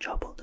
Troubled.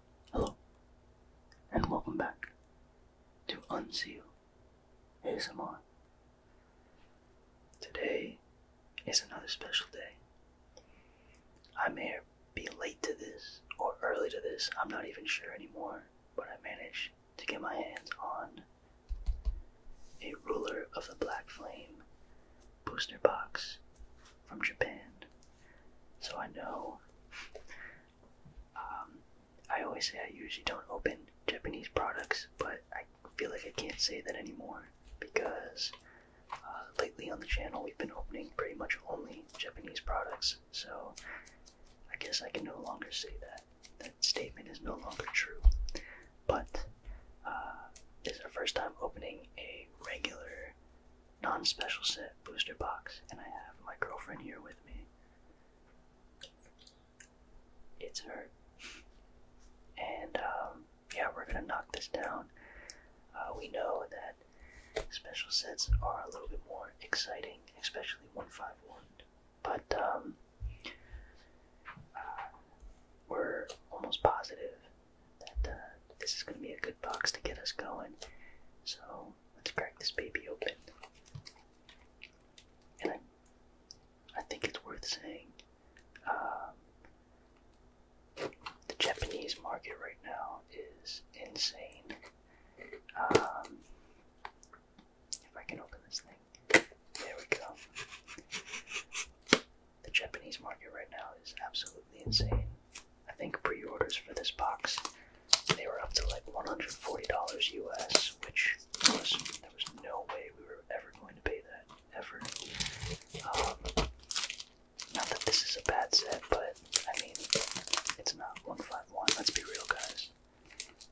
Hello, and welcome back to Unseal ASMR. Today is another special day. I may be late to this or early to this, I'm not even sure anymore, but I managed to get my hands on a Ruler of the Black Flame booster box from Japan, so I know. Um, I always say I usually don't open Japanese products, but I feel like I can't say that anymore because uh, lately on the channel we've been opening pretty much only Japanese products, so I guess I can no longer say that. That statement is no longer true. But uh, this is our first time opening a regular non special set booster box, and I have my girlfriend here with me. It's her. And um, yeah, we're gonna knock this down. Uh, we know that special sets are a little bit more exciting, especially 151. But um, uh, we're almost positive that uh, this is going to be a good box to get us going. So let's crack this baby open. And I, think it's worth saying um, the Japanese market right now is insane. Um, if I can open this thing, there we go. The Japanese market right now is absolutely insane. I think pre-orders for this box. They were up to like $140 US, which was there was no way we were ever going to pay that ever. Um, not that this is a bad set, but I mean, it's not 151. Let's be real, guys.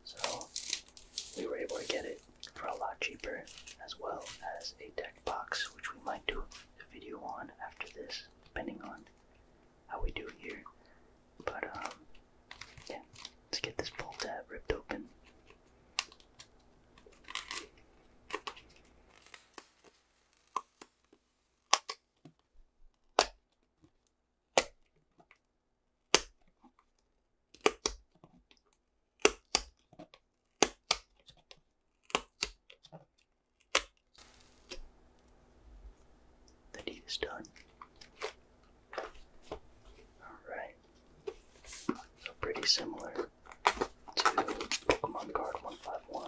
So we were able to get it for a lot cheaper, as well as a deck box, which we might do a video on after this, depending on how we do here. But um, yeah, let's get this pull tab ripped open. The deed is done. Alright. So pretty similar to Pokemon Card 151.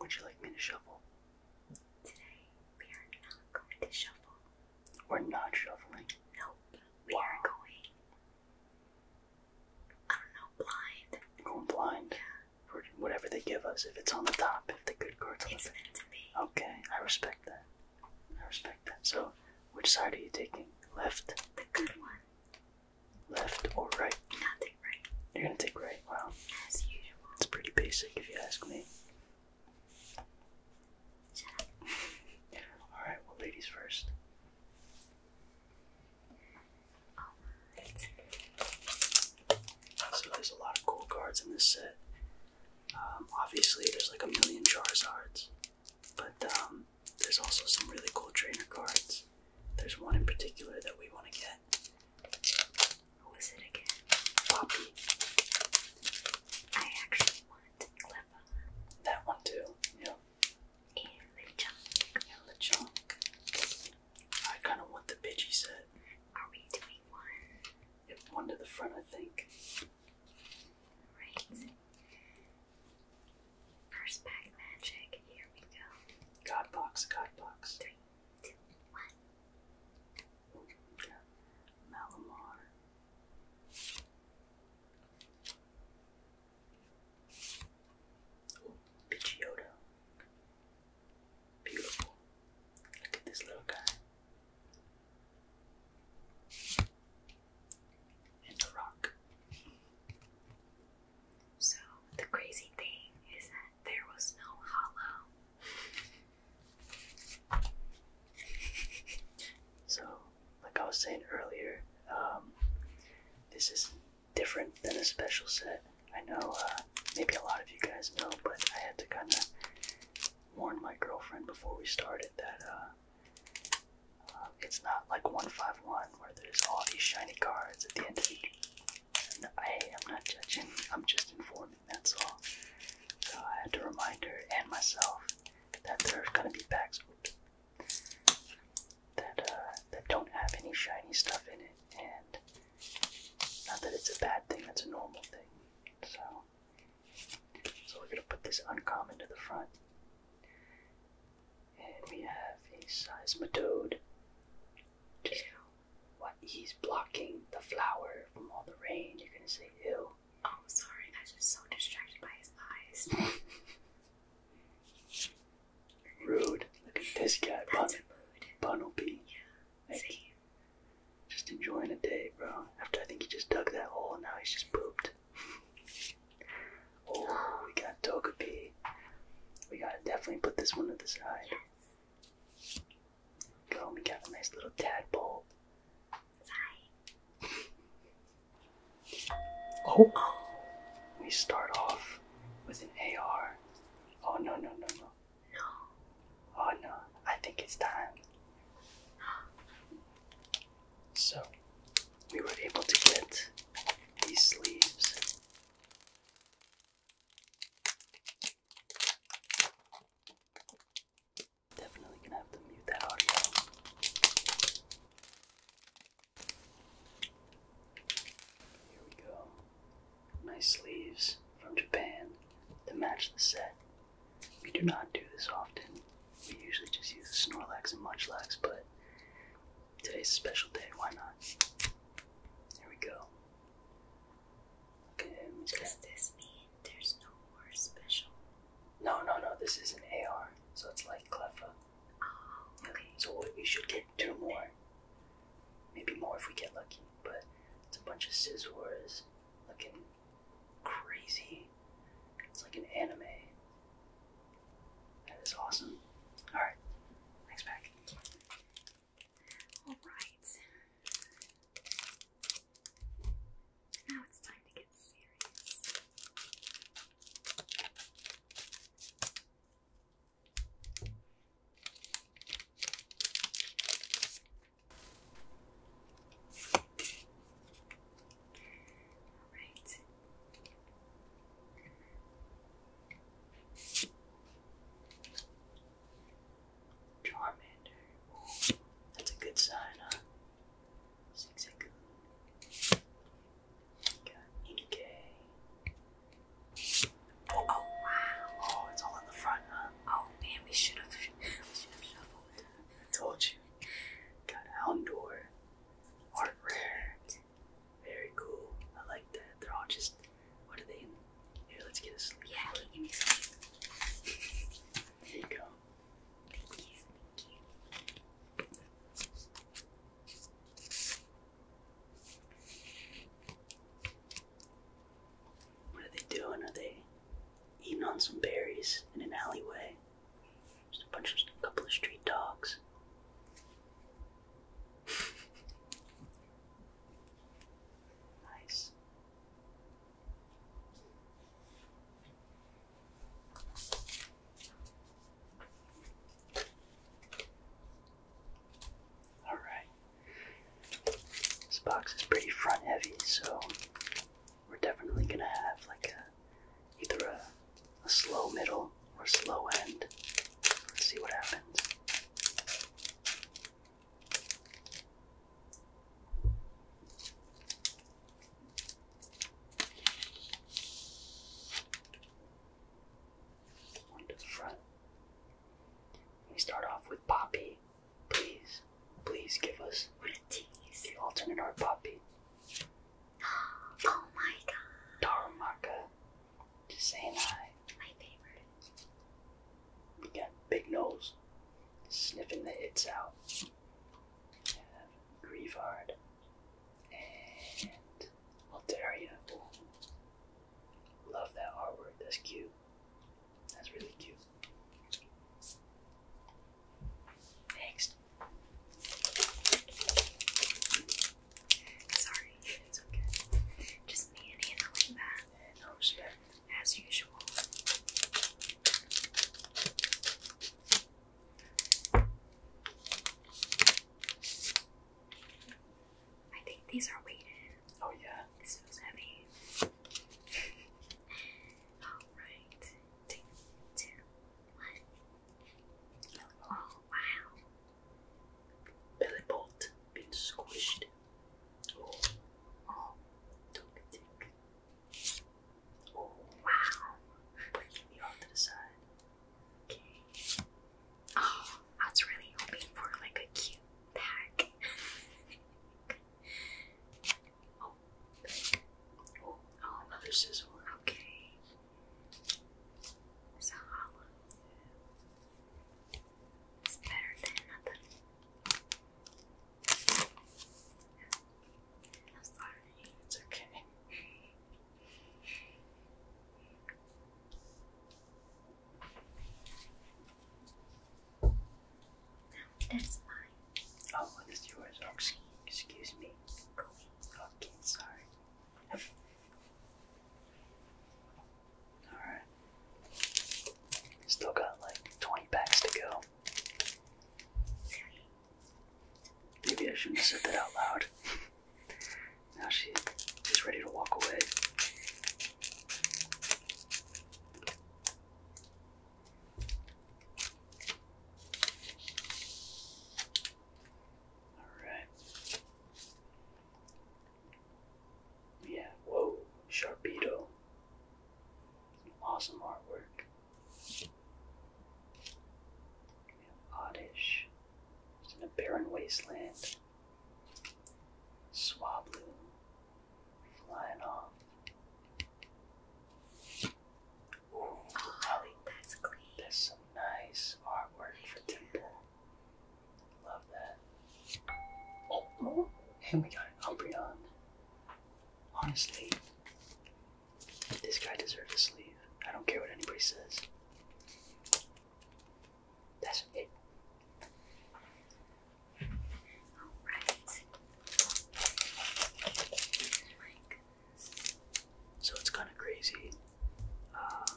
Would you like me to shuffle? Today we are not going to shuffle. We're not shuffling? Nope. We are going I don't know, blind. we going blind? Yeah. For whatever they give us, if it's on the top, if the good card's it's Meant to be. Okay, I respect that. I respect that. So which side are you taking? Left? The good one. Left or right? Not you're gonna take right. Wow. It's pretty basic, if you ask me. All right. Well, ladies first. So there's a lot of cool cards in this set. Um, obviously, there's like a million Charizards, but um, there's also some really cool trainer cards. There's one in particular that we want to get. Who is it again? Poppy. I actually want Clever. That one too, yeah. And LeChonk. And LeChonk. I kind of want the Pidgey set. Are we doing one? one to the front, I think. Right. First pack magic, here we go. God box, God box. Three, two, one. Malamar. Oh, Beautiful. Look at this little guy. And the rock. So the crazy thing is that there was no hollow. so, like I was saying earlier, um, this is different than a special set. I know uh, maybe a lot of you guys know, but I had to kind of warn my girlfriend before we started that uh, uh, it's not like 151 where there's all these shiny cards at the end of each I am not judging, I'm just informing, that's all. So I had to remind her and myself that there's gonna be packs that uh, that don't have any shiny stuff in it, and not that it's a bad thing, that's a normal thing. So, so we're gonna put this uncommon to the front, and we have a seismitoad, just what he's blocking the flower from all the rain. You're gonna say ew. Oh, sorry. I was just so distracted by his eyes. Rude. Look at this guy, That's Bun- Bunnelby. Yeah. Like, See? Just enjoying a day, bro. After I think he just dug that hole, and now he's just pooped. oh, we got P. We gotta definitely put this one to the side. Boom, we got a nice little tadpole. Sorry. oh. We start off with an AR. Oh no, no, no, no. No. Oh no, I think it's time. So, we were able to get these leaves. Definitely gonna have to mute that audio. Here we go. Nice sleeves from Japan to match the set. We do not do this often. We usually just use Snorlax and Munchlax, but today's a special day. Why not? Here we go. Does this mean there's no more special? No, no, no. This is an AR, so it's like Cleffa. Oh, okay. So we should get two more. Maybe more if we get lucky, but it's a bunch of scissors looking crazy. It's like an anime. That is awesome. Alright, next pack. All right. Now it's time to get serious. All right. Charmander. that's a good sign, huh? Zigzagoon. Got Inkay. Oh, oh, wow. Oh, it's all in the front, huh? Oh, man, we should have I told you. Got Houndour. Art Rare. Very cool. I like that. They're all just. What are they? Yeah, can you go. Thank you. Thank you. What are they doing? Are they eating on some berries in an alleyway? Just a bunch of a couple of street dogs. Nice. All right. This box is pretty front heavy, so we're definitely gonna have like a either a, a slow middle or slow end. Let's see what happens. One the front. We start off with Poppy. Please, please give us what a tease. the alternate art Poppy. Oh my god. Darumaka. Just saying hi. My favorite. We got Big Nose sniffing the hits out. We have and Altaria. Love that artwork. That's cute. That's really cute. Next. Sorry, it's okay. Just me and Anna that. Yeah, oh, As usual. I think these are weighted. Oh yeah. This feels heavy. Alright. Two, two, one. Oh wow. Billy Bolt been squished. Oh, oh, oh wow. Breaking me off the side. Okay. Oh, I was really hoping for like a cute pack. Oh, oh, another sizzle. Okay. It's a hollow. It's better than nothing. I'm sorry. It's okay. No, that's mine. Oh, what is yours? Oh, excuse, excuse me. Okay, sorry. Alright. Still got like 20 packs to go. Maybe I shouldn't have said that out loud. now she's is ready to walk away. Alright. Yeah, whoa, Sharpedo. Awesome artwork. Oddish. It's in a barren wasteland. Swablu. Flying off. Ooh, that's clean. That's some nice artwork for Timber. Love that. Oh, and we got an Umbreon. Honestly, this guy deserves a sleep. I don't care what anybody says. That's it. Alright. So it's kind of crazy. Um,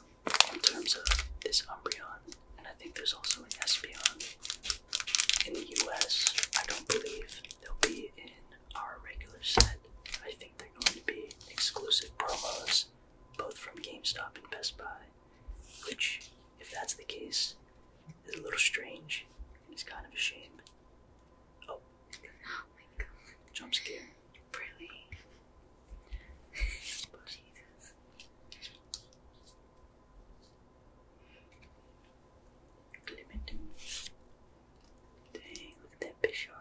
in terms of this Umbreon, and I think there's also an Espeon in the US. I don't believe they'll be in our regular set. I think they're going to be exclusive promos, both from GameStop and Best Buy, which, if that's the case, is a little strange It's kind of a shame. oh, oh my god. Jump scare really? Oh, Jesus. Limited. Dang, look at that Bishop.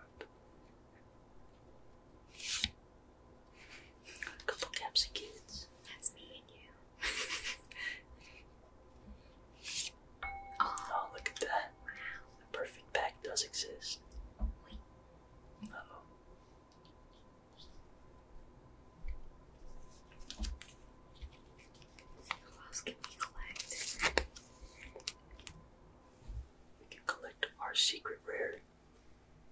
a couple caps of kids. That's me and you. oh. look at that. The perfect pack does exist. oh. Who else can we collect? We can collect our secret rare.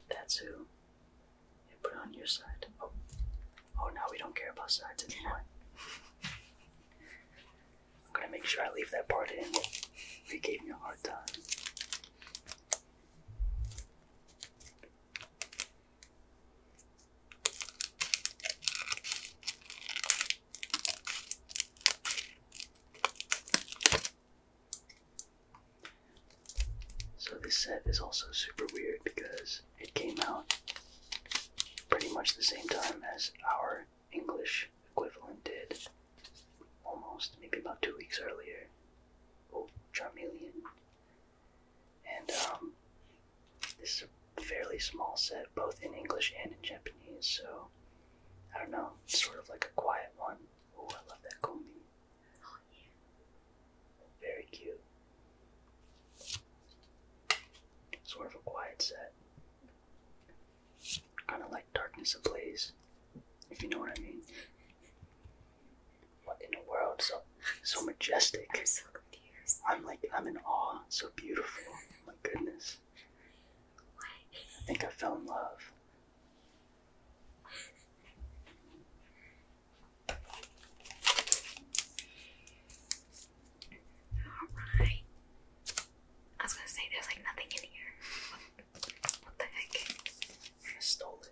That's who. And put it on your side. Oh, oh, now we don't care about sides anymore. I'm gonna make sure I leave that part in. You gave me a hard time. So this set is also super weird because it came out pretty much the same time as our English equivalent did. Almost, maybe about two weeks earlier. Oh, Charmeleon. And um, this is a fairly small set, both in English and in Japanese, so I don't know, sort of like a quiet one. Oh, I love that combi. Oh, yeah. Very cute. Sort of a quiet set. Kind of like Darkness Ablaze if you know what I mean. What in the world? So so majestic. I'm so confused. I'm like I'm in awe. So beautiful. Oh my goodness. I think I fell in love. Alright. I was gonna say there's like nothing in here. What the heck? I stole it.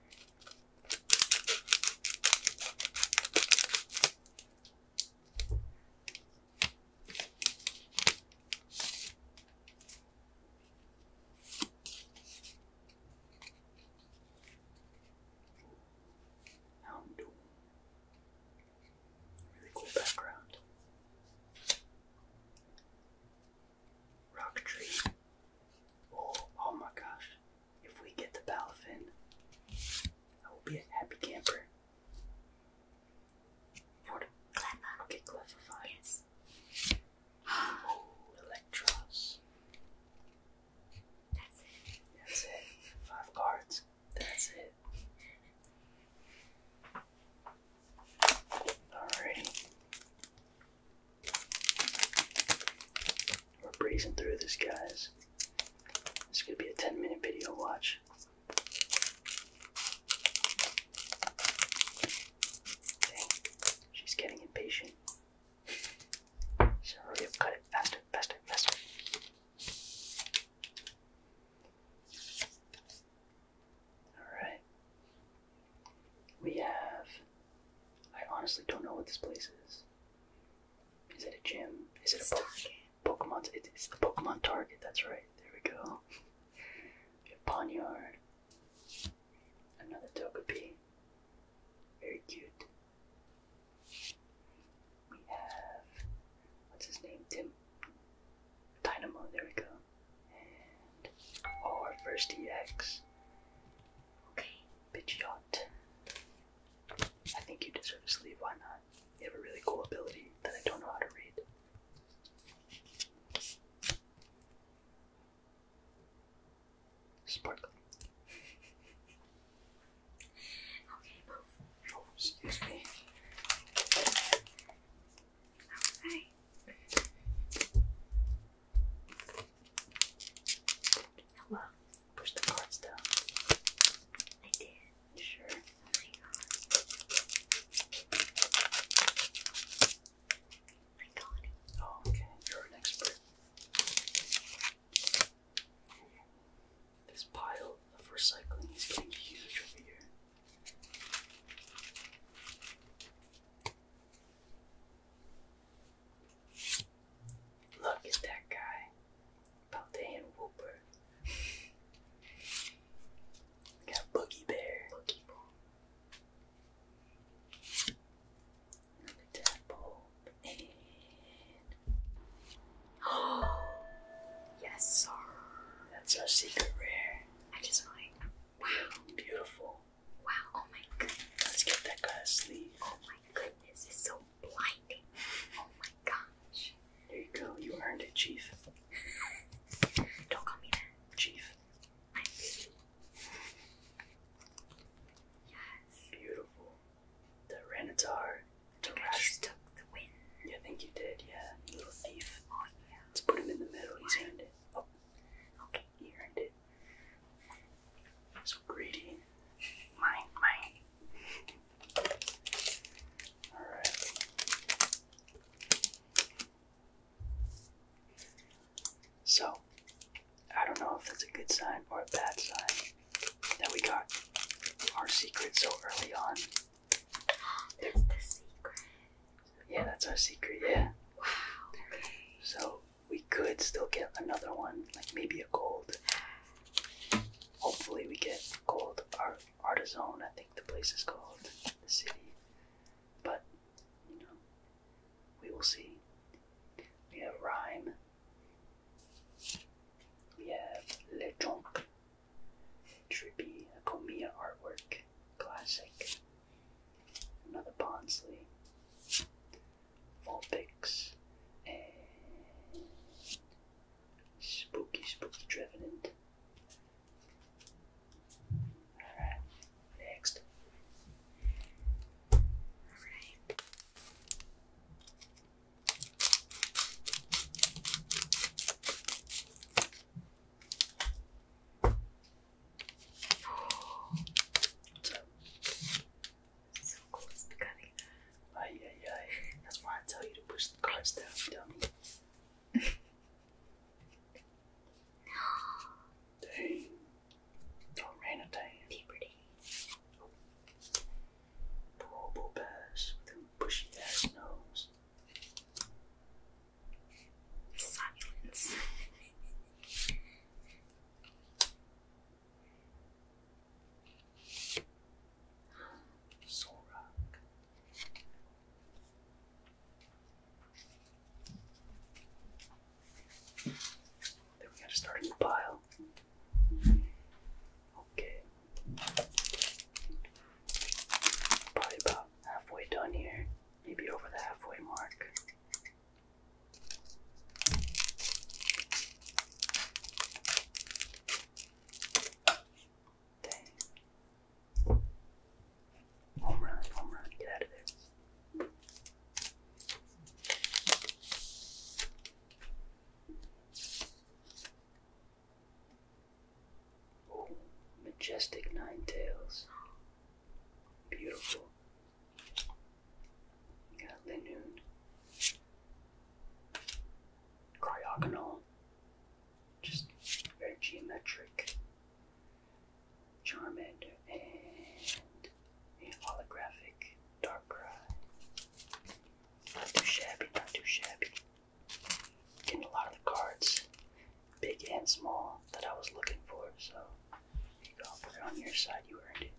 Really cool background. Rock tree. Oh, my gosh. If we get the Balafin, I will be a happy camper. What? Clever. Okay, Yes. Oh, Electros. That's it. That's it. Five cards. That's it. Alrighty. We're breezing through this, guys. This is gonna be a 10 minute video watch. she's getting impatient. So hurry up, cut it faster, faster, faster. Alright. We have. I honestly don't know what this place is. Is it a gym? Is it a po Pokemon? it's the Pokemon Target, that's right. There we go. we have Ponyard. Another Togepi. Very cute. We have. What's his name? Tim. Dynamo, there we go. Or first EX. Okay. Pidgeot. I think you deserve a sleeve, why not? You have a really cool ability that I don't know how to read. Sparkling. Okay, move. Oh, excuse me. Alright. Hello. Push the cards down. I did. Sure. Oh my god. Oh, okay. You're an expert. This pile of recycling is getting huge over here. Look at that guy, Paldean Wooper. got Boogie Bear. Oh! Yes, sir. That's our secret rare. I just like, wow. Beautiful. Wow, oh my goodness. Let's give that guy a Oh my goodness, it's so blinding. Oh my gosh. There you go, you earned it, Chief. Don't call me that. Chief. Yes. Beautiful. The Renatar. The I just took the win. Yeah, I think you did, yeah. Little thief. Oh yeah. Let's put him in the middle, he's earned it. Oh, Okay, here I So greedy. Mine, mine. Alright. So, I don't know if that's a good sign or a bad sign that we got our secret so early on. It's the secret. Yeah, that's our secret, yeah. So we could still get another one, like maybe a gold. Hopefully we get gold Our artisan, I think the place is called, the city. But you know, we will see. We have rhyme. We have Le Tronc. Trippy, a Comia artwork, classic another Barnsley, four picks, and spooky, spooky Trevenant. Alright, next. Alright. So cool, it's becoming. Ay, ay, ay. That's why I tell you to push the cards down, dummy. Dang. Don't rain a day. Puberty. Poor old bushy ass nose. Silence. Zorak. Then we gotta start in the pile. Okay. Probably about halfway done here maybe over the halfway mark. Dang. Home run, home run, get out of there. majestic nine tails. Beautiful. You got linoon. Cryogonal. Just very geometric. Charmander and holographic Darkrai. Not too shabby, not too shabby. Getting a lot of the cards big and small, that I was looking for. So you got it on your side, you earned it.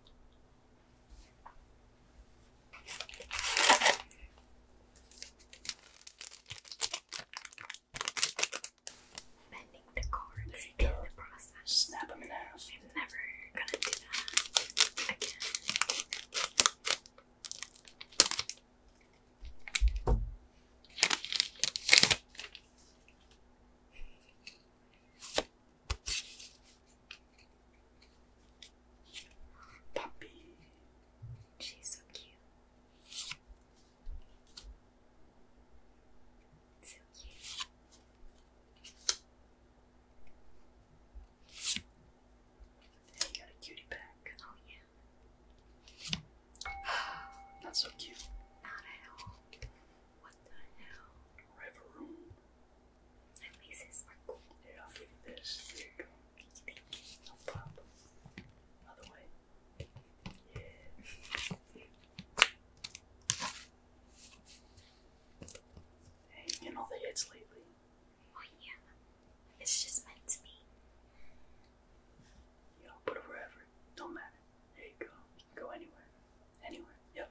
Bending the cords in the process. Snap them in half. I'm never gonna do that again. Puppy. She's so cute. So cute. you got a cutie pack. Oh yeah. Not so cute. Not at all. What the hell? Reverum. At least it's more cool. Yeah, I'll this. There you go. No problem. Other way. Yeah. you getting the hits lately? Oh yeah. It's just meant to be. You know, put it wherever. Don't matter. There you go. go anywhere. Anywhere. Yep.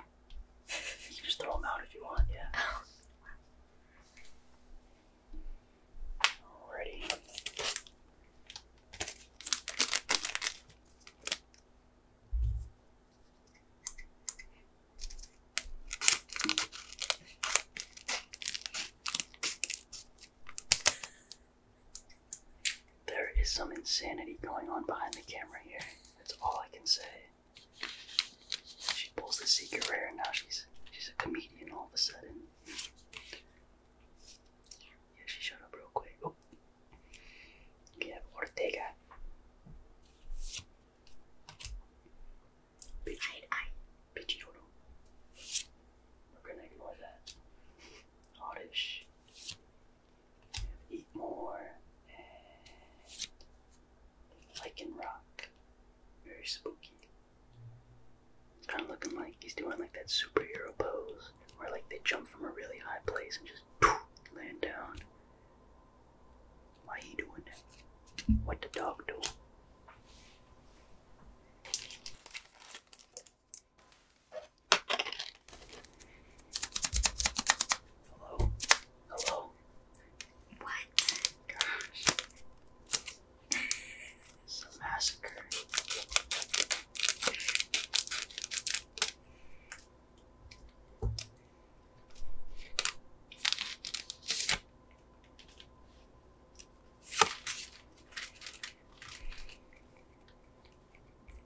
you just throw them out if you want, yeah. Oh, Alrighty. There is some insanity going on behind the camera here. That's all I can say. She pulls the secret rare and now she's she's a comedian all of a sudden. Yeah, she showed up real quick. Oh. You have Ortega. Pichioro. We're gonna ignore that hottish. Eat more lichen rock. Very spooky. kind of looking like he's doing like that superhero pose where like they jump from a really high place and just land down. Why he doing that? What the dog do? Hello? Hello? What? Gosh. It's a massacre.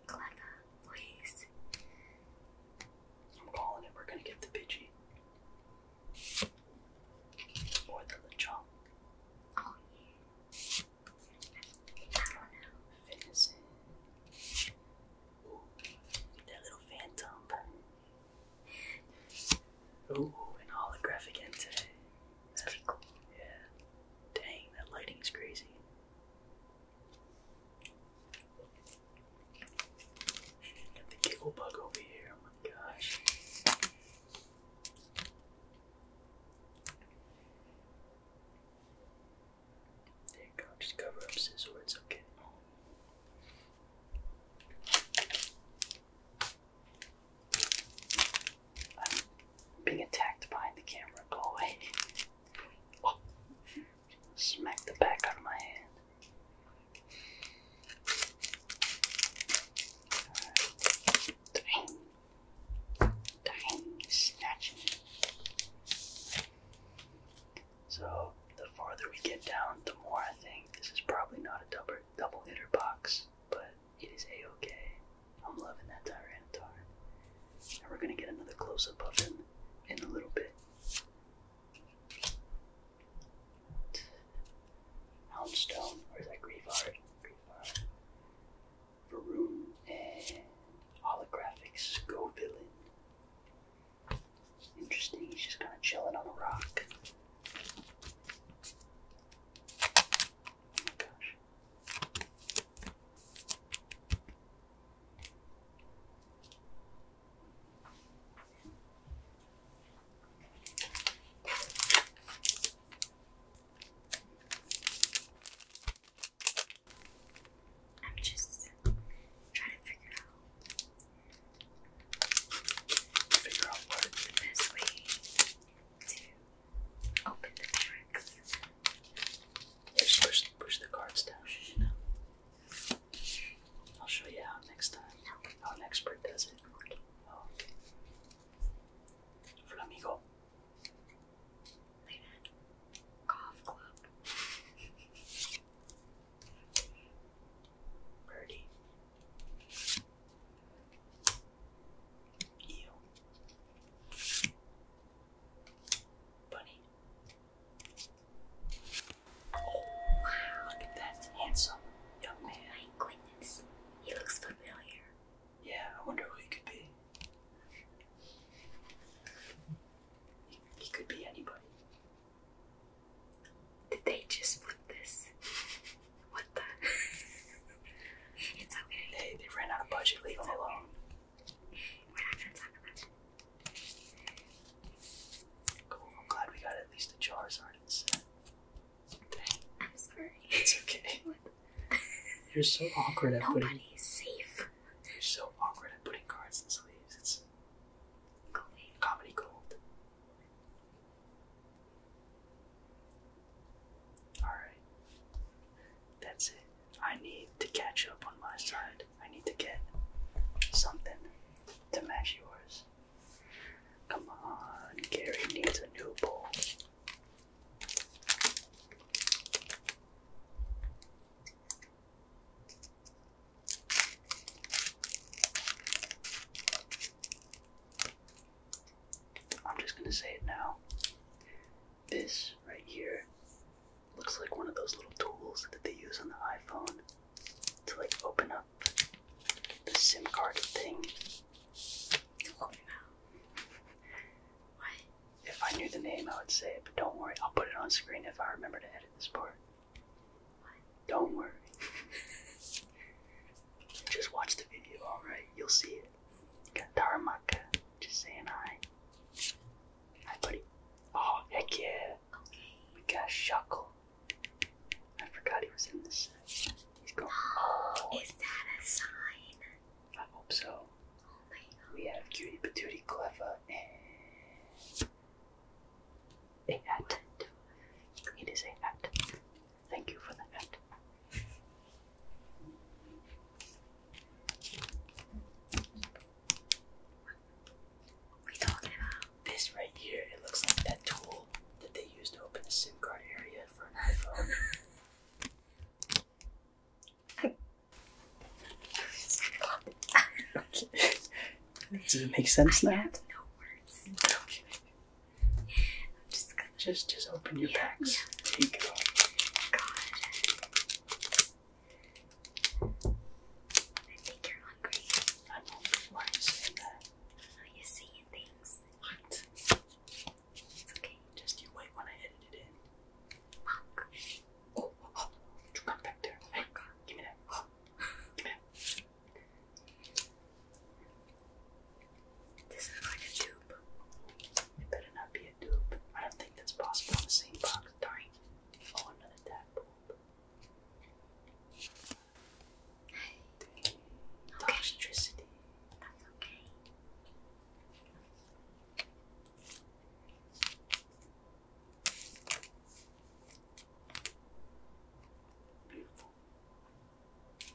Clever, please. I'm calling it. We're gonna get the Pidgey. Or the Lechonk. Oh yeah. I don't know. Venison. Ooh, that little phantom. Ooh, an holographic entity. It's cool. Yeah. Dang, that lighting's crazy. Got the giggle bug over here. Oh my gosh. There you go. Just cover up scissors. okay. I'm being attacked behind the camera. Go away. Smack the back of my hand. Dang. Dang. Snatching So, the farther we get down, the more I think this is probably not a double, double hitter box, but it is a-okay. I'm loving that Tyranitar. And we're gonna get another close-up of him in a little bit. Houndstone, or is that Grievard? Grievard. Varun and Holographics Go Villain. Interesting, he's just kinda chilling on a rock. Oh my gosh. I'm just trying to figure out figure out what the best way to open the tracks. Just push, push the cards down, I'll show you how next time. How an expert does it. Oh, okay. Golf club. Birdie. Eel. Bunny. wow, look at that. Handsome young man. He looks familiar. Yeah, I wonder who he could be. He, could be anybody. Did they just flip this? Hey, they ran out of budget. Leave them alone. We're not gonna talk about it. Cool. I'm glad we got at least the jars aren't set. Dang. I'm sorry. It's okay. You're so awkward at putting. Nobody's safe. You're so awkward at putting cards in sleeves. It's. Gold. Comedy gold. Alright. That's it. I need to catch up on my side. I need to get something to match yours. Come on, Gary needs a new bowl. I'm just gonna say it now. This right here looks like one of those little tools that they use on the iPhone to like open up the SIM card thing. Oh, if I knew the name, I would say it, but don't worry, I'll put it on screen if I remember to edit this part. Don't worry. Just watch the video, alright? You'll see it. Got Taramaka just saying hi. Hi, buddy. Oh, heck yeah. We got Shuckle. I forgot he was in the set. He's going. Oh, oh, is that a sign? I hope so. Oh we have Cutie Patootie Clever and a hat. It is a hat. Thank you for that. We talking about this right here. It looks like that tool that they use to open the SIM card area for an iPhone. Does it make sense I Have no words. Okay just just open your packs. Take it I think you're hungry. I'm hungry. Why are you saying that? you're saying things. What? It's okay. Just you wait when I edit it in. Oh, oh, oh. you back there. hey, oh give me that. Give me that. This is like a dupe. It better not be a dupe. I don't think that's possible in the same box. Darn. Oh, another tadpole. Okay. Toxicity. That's okay. Beautiful.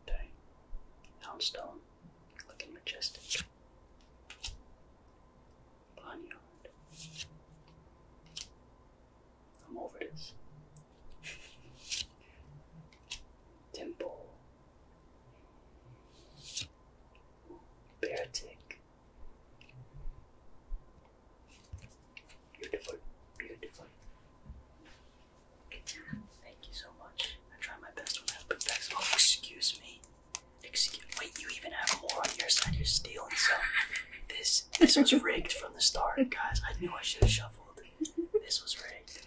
Okay, stone, looking majestic. Barnyard. I'm over this. Temple Beartic. Beautiful, beautiful. Thank you so much. I try my best when I open packs. Oh, excuse me. Excuse. Wait, you even have more on your side. You're stealing some. This this was rigged from the start, guys. I knew I should have shuffled. This was rigged.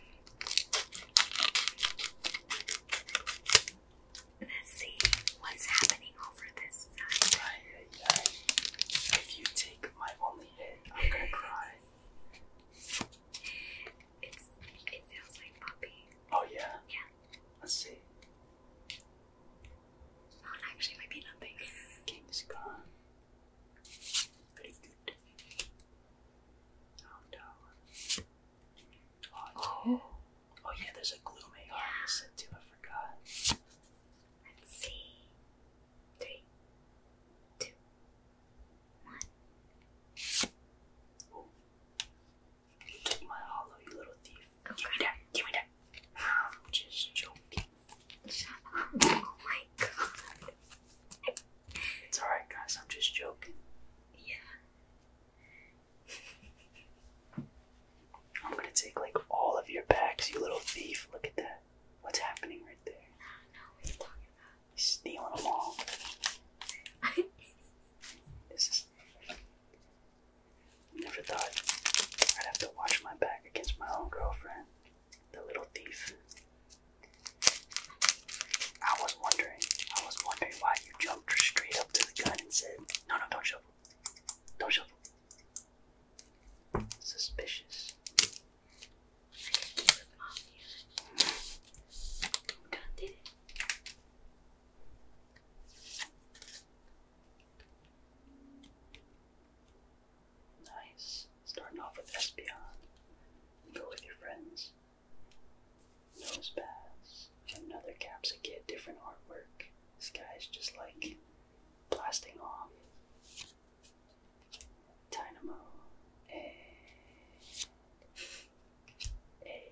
Let's see what's happening over this side. If you take my only hit, I'm gonna cry. It's it feels like puppy. Oh yeah. Yeah. Let's see. actually, might be nothing. king gone. Oh, oh. yeah, there's a glue maker on too, I forgot. Let's see. Three, two, one. took my hollow, you little thief. Give me that, give me that. I'm just joking. Oh my god. It's alright, guys, I'm just joking. Yeah. I'm gonna take like all of your packs, you little thief. Look at that. What's happening right there? No, no, what are talking about? He's them all. this is. Never thought I'd have to watch my back against my own girlfriend. The little thief. I was wondering, I was wondering why you jumped straight up to the gun and said, No, no, don't shuffle. Don't shuffle. Suspicious. I got it. Nice. Starting off with Espeon. Go with your friends. Nose Another Caps a Kid, different artwork. This guy's just like blasting off. Dynamo. A. A.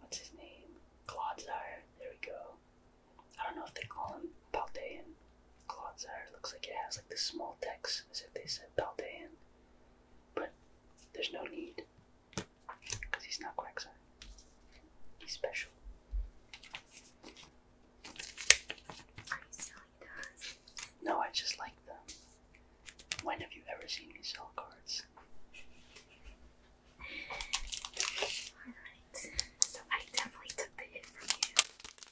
What's his name? Clodsire. There we go. I don't know if they call him Paldean. Clodsire looks like it has like the small text as if they said Paldean. But there's no need because he's not Quagsire. He's special. Are you selling those? No, I just like them. When have you ever seen me sell cards? Alright, so I definitely took the hit from you.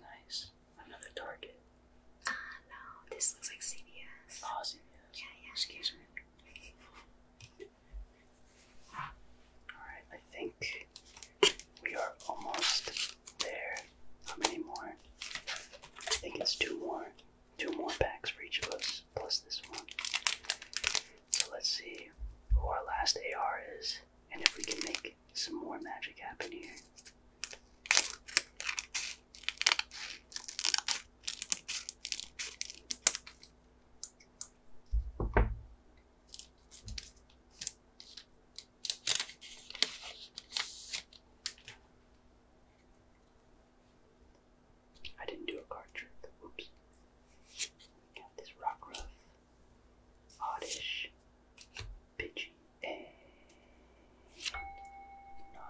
Nice. Another Target. Ah, no. This looks like CVS. Oh, CVS. Yeah, yeah. Alright, I think we are almost there. How many more? I think it's two more. Two more packs for each of us, plus this one. So let's see who our last AR is, and if we can make some more magic happen here. I didn't do a card trick. Oops. got this rock oddish, Pidgey, and eh,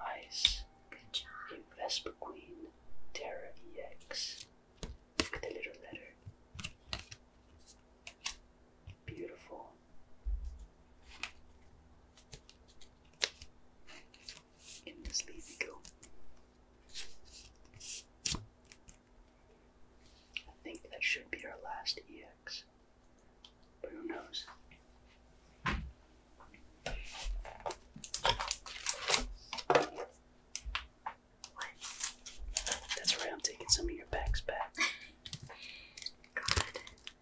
nice. Good job. Vesper Queen, Terra EX. Look at the little letter. Beautiful. In this leaf we go. I think that should be our last EX. But who knows? That's right, I'm taking some of your bags back.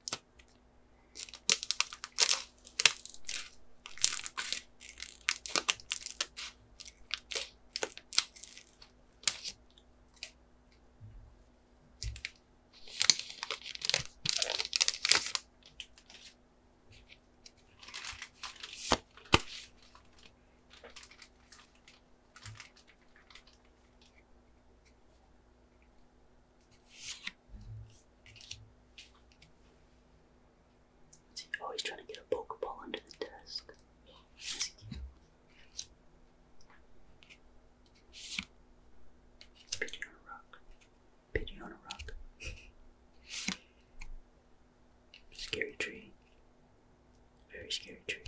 oh, he's trying to get a Pokeball under the desk. That's on a rock. Pigeon on a rock. Scary tree. Very scary tree.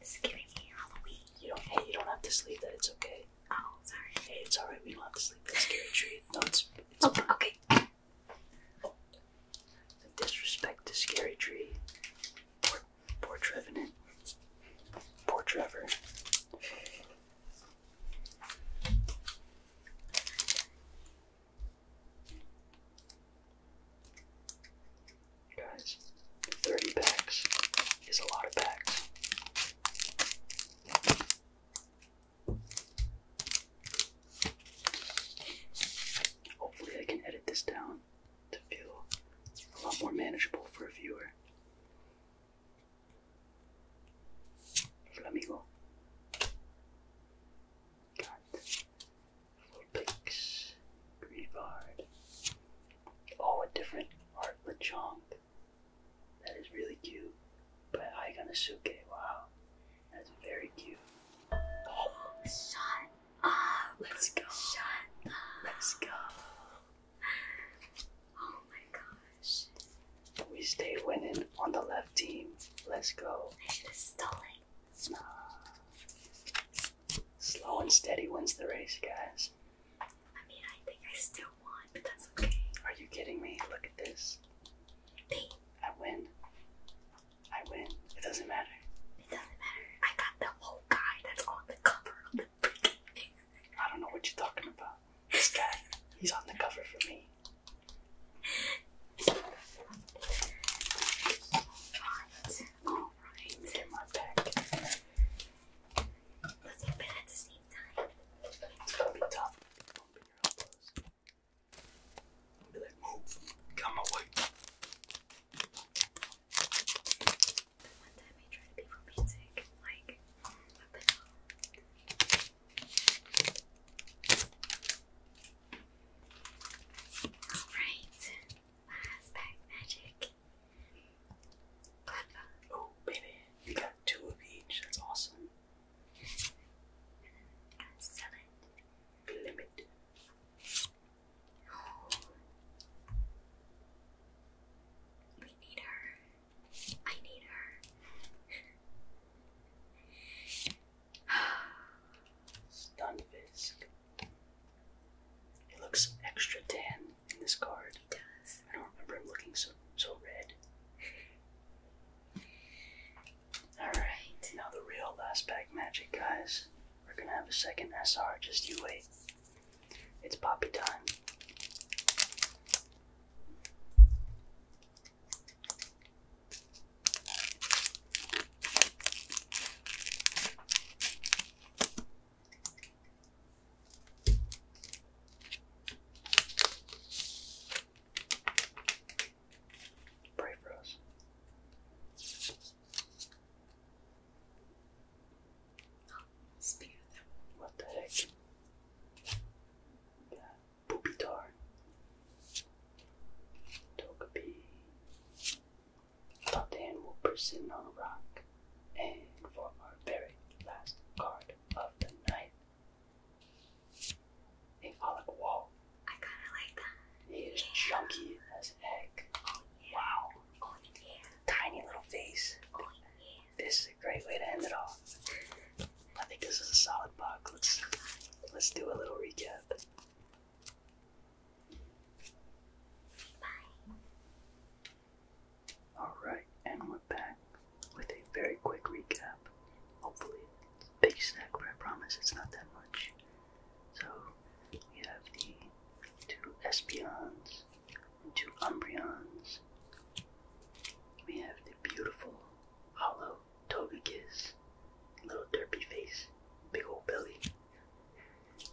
It's giving me Halloween. You don't. Hey, you don't have to sleep. That it's okay. Oh, sorry. Hey, it's alright. We don't have to sleep. That scary tree. No, it's. oh, okay. Oh. The disrespect to scary tree. Poor, poor Trevenant. Poor Trevor. Guys, 30 packs is a lot of packs. Hopefully, I can edit this down to feel a lot more manageable for a viewer. Flamigo. God for Pix, Grievard. Oh, a different Art Lechonk. That is really cute. But Aiganasuke, wow. That's very cute. Oh. Shut up! Let's go! Let's go! Oh my gosh. We stay winning on the left team. Let's go. I should have stolen Slow and steady wins the race, guys. I mean, I think I still won, but that's okay. Are you kidding me? Look at this. I win. I win. It doesn't matter. It doesn't matter. I got the whole guy that's on the cover of the freaking thing. I don't know what you're talking about. This guy, he's on the cover for me. Alright, alright. Get my back. Let's open at the same time. It's gonna be tough. Bumping your elbows. I'll Come away. The one time I tried to be romantic, like, what the hell? Alright. Last pack magic. Oh, baby. You got two of each. That's awesome. Sell Limit. Oh. We need her. I need her. Stunfisk. It looks extra tan in this card. He does. I don't remember him looking so so red. Alright, now the real last pack magic, guys. We're gonna have a second SR, just you wait. It's poppy time. Pray for us. What the heck? Yeah. Pupitar, Togepi. Fontaine will proceed on a rock. And for our very last card of the night, a Pollock Wall. I kinda like that. He is chunky as heck. Oh, yeah. Wow. Oh, Tiny little face. Oh, this is a great way to end it off. I think this is a solid box. Let's let's do a little recap. Alright, and we're back with a very quick recap. Hopefully, it's a big snack, but I promise it's not that much. So, we have the two Espions two Umbreons. We have the beautiful hollow Togekiss, little derpy face, big old belly.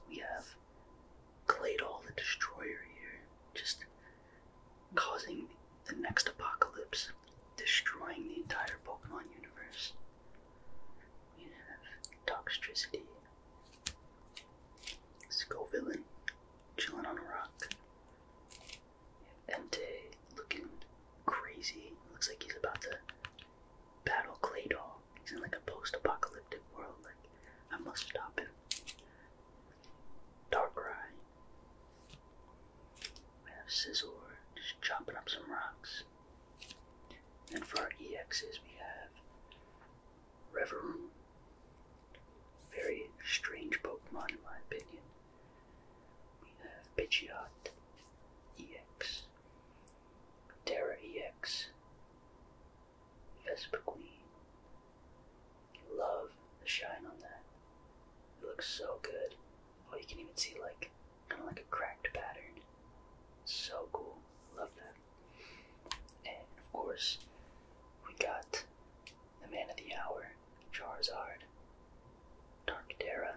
We have Claydol the Destroyer here, just causing the next apocalypse, destroying the entire Pokemon universe. We have Toxtricity, Skull chilling on a rock. Empty looking crazy. Looks like he's about to battle Clay Doll. He's in like a post-apocalyptic world. Like I must stop him. Darkrai. We have Scizor just chopping up some rocks. And for our EXs we have Reverum. Very strange Pokemon in my opinion. We have Pidgeot EX, Terra EX, Vespa Queen. I love the shine on that. It looks so good. Oh, you can even see like kind of like a cracked pattern. So cool. Love that. And of course, we got the man of the hour, Charizard, Dark Terra,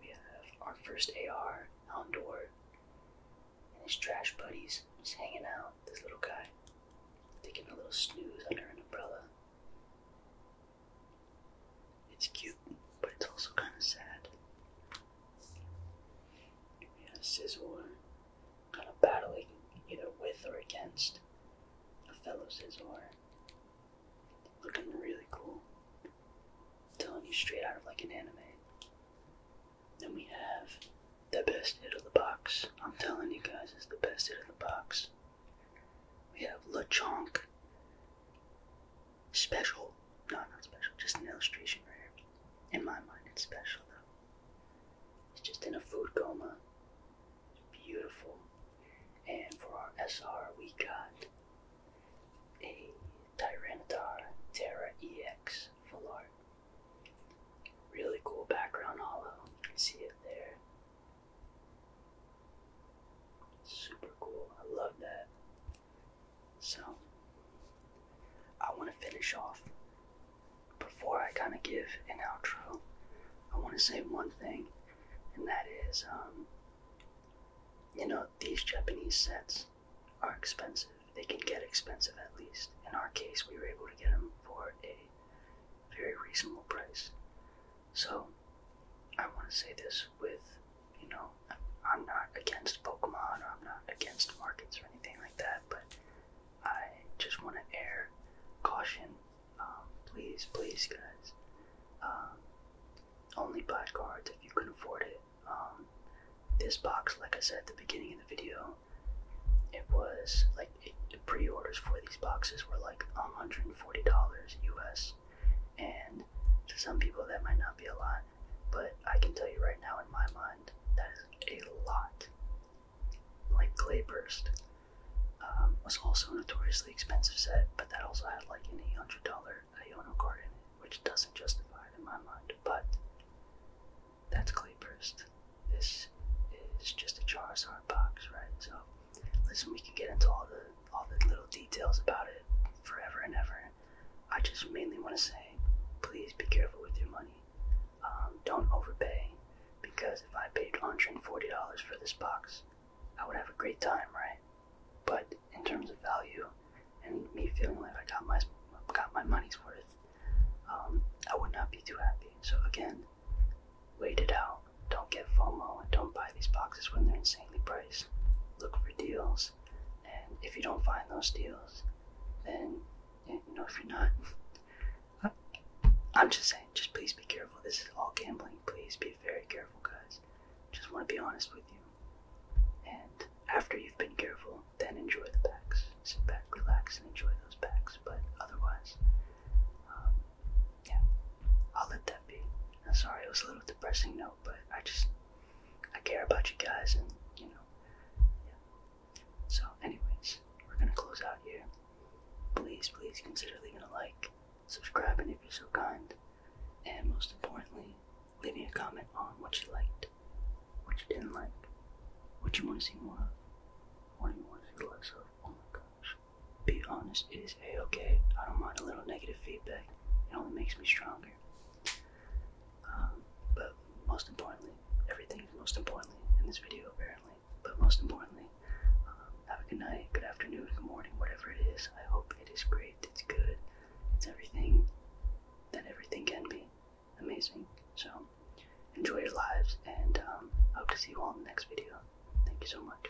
we have our first AR, Houndour, and his trash buddies just hanging out. This little guy taking a little snooze under an umbrella. It's cute, but it's also kind of sad. We have Sizzler kind of battling either with or against a fellow Sizzler. Looking really cool. I'm telling you straight out of like an anime. Then we have the best hit of the box. I'm telling you guys, it's the best hit of the box. We have LeChonk. Special. No, not special. Just an illustration right here. In my mind, it's special though. He's just in a food coma. Beautiful. And for our SR, we got a Tyranitar Terra EX full art. Really cool background hollow. You can see it there. Super cool. I love that. So, I want to finish off. Before I kind of give an outro, I want to say one thing and that is, um, you know, these Japanese sets are expensive. They can get expensive at least. In our case, we were able to get them for a very reasonable price. So, I want to say this with, you know, I'm not against Pokemon or I'm not against markets or anything like that, but I just want to air caution um, please, please, guys. Um, only buy cards if you can afford it. Um, this box, like I said at the beginning of the video, it was like pre-orders for these boxes were like $140 US, and to some people that might not be a lot, but I can tell you right now in my mind that is a lot. Like clay burst. Um, was also a notoriously expensive set, but that also had like an $800 Iono card in it, which doesn't justify it in my mind. But that's Clayburst. This is just a Charizard box, right? So listen, we can get into all the all the little details about it forever and ever. I just mainly want to say, please be careful with your money. Um, don't overpay, because if I paid $140 for this box, I would have a great time, right? But in terms of value and me feeling like I got my got my money's worth, um, I would not be too happy. So again, wait it out. Don't get FOMO and don't buy these boxes when they're insanely priced. Look for deals, and if you don't find those deals, then you know if you're not I, am just saying, just please be careful. This is all gambling. Please be very careful, guys. Just want to be honest with you. And after you've been careful, then enjoy the packs. Sit back, relax, and enjoy those packs. But otherwise, um, yeah, I'll let that be. sorry, it was a little depressing note, but I just I care about you guys, and you know, yeah. So, anyways, we're gonna close out here. Please, please consider leaving a like. Subscribing if you're so kind, and most importantly, leave me a comment on what you liked, what you didn't like, what you want to see more of, what you want to see less of. Oh my gosh. Be honest, it is a okay. I don't mind a little negative feedback, it only makes me stronger. Um, but most importantly, everything most importantly in this video, apparently. But most importantly, um, have a good night, good afternoon, good morning, whatever it is. I hope it is great, it's good, it's everything that everything can be. Amazing. So, enjoy your lives, and I um, hope to see you all in the next video. Thank you so much.